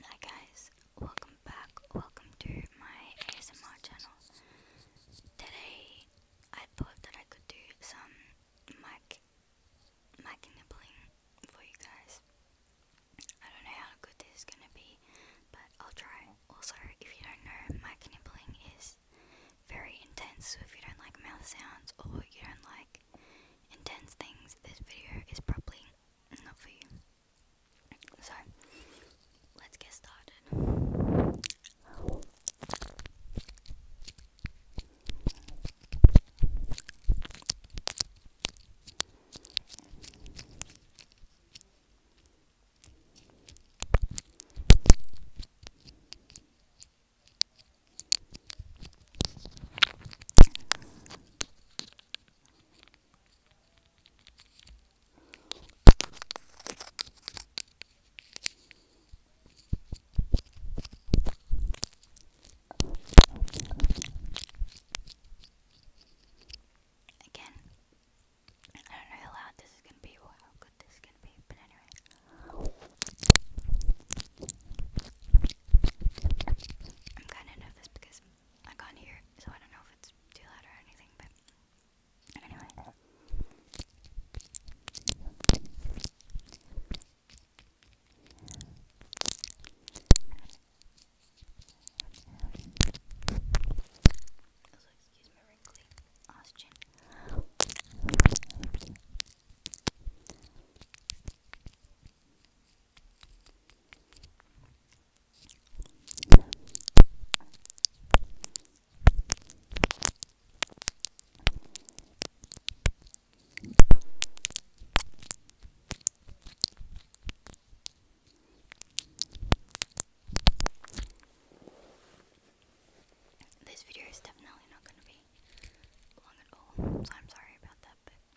Hi guys, welcome back, welcome to my ASMR channel. Today I thought that I could do some mic, mic nibbling for you guys. I don't know how good this is gonna be, but I'll try. Also, if you don't know, mic nibbling is very intense, so if you don't like mouth sounds or you don't like intense things, this video is probably not for you. So, let's get started. Again, I don't know how loud this is gonna be or how good this is gonna be, but anyway. I'm kind of nervous because I can't hear so I don't know if it's too loud or anything, but anyway. This video is definitely not going to be long at all, so I'm sorry about that, but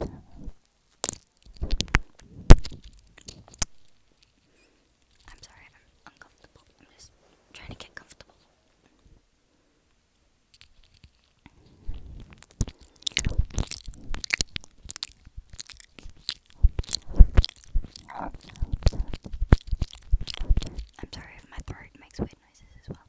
I'm sorry, I'm uncomfortable. I'm just trying to get comfortable. I'm sorry if my throat makes weird noises as well.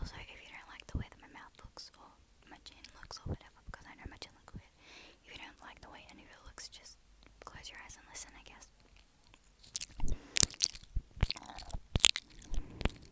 Also, oh, if you don't like the way that my mouth looks or my chin looks or up because I know my chin looks weird, if you don't like the way any of it looks, just close your eyes and listen, I guess.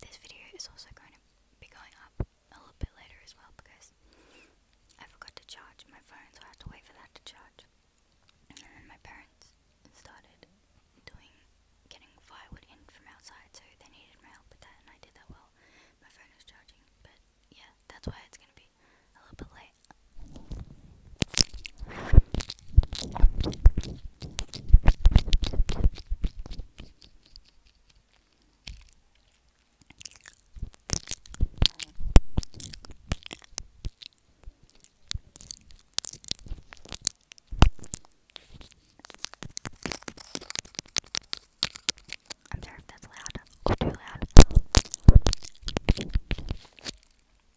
This video is also going to be going up a little bit later as well because I forgot to charge my phone, so I have to wait for that to charge. And then my parents started doing getting firewood in from outside, so they needed my help with that, and I did that while my phone was charging. But yeah, that's why it's gonna be a little bit late. I'm sorry if that's loud or too loud.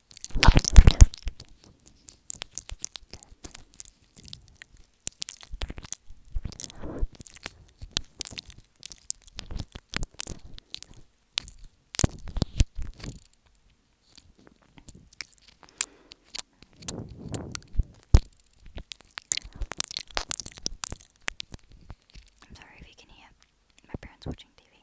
I'm sorry if you can hear my parents watching TV.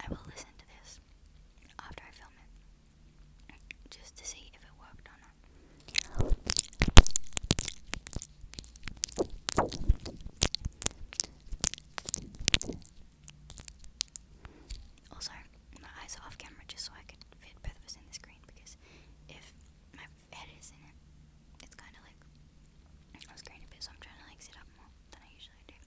I will listen to this after I film it just to see if it worked or not. Also, my eyes off camera just so I could fit both of the screen because if my head is in it, it's kind of like I was green a so I'm trying to like sit up more than I usually do.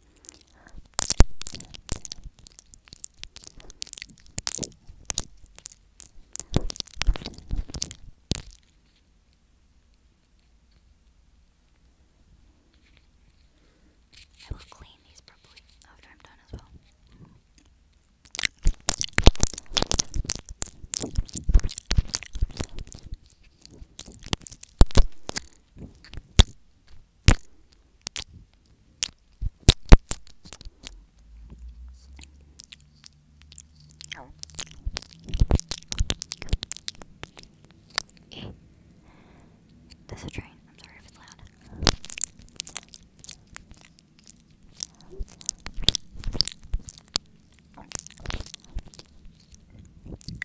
I will clean these properly after I'm done as well. There's a train. I'm sorry if it's loud.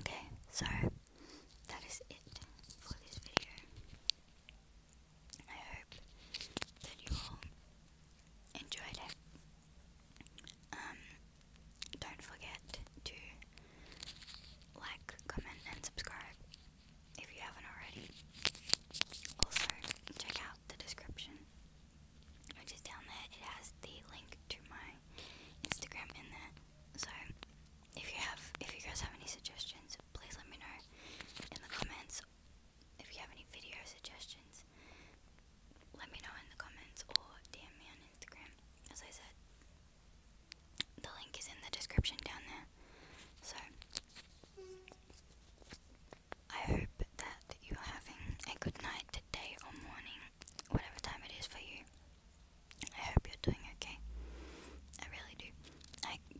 Okay, so that is it for this video. I hope that you all enjoyed it. Um, don't forget to like, comment, and subscribe if you haven't already. Also, check out the description, which is down there. It has the link to my Instagram in there. So, if you have, if you guys have any suggestions, please let me know in the comments if you have any video suggestions, let me know in the comments or DM me on Instagram. As I said, the link is in the description down there. So, I hope that you're having a good night, today or morning, whatever time it is for you. I hope you're doing okay. I really do. I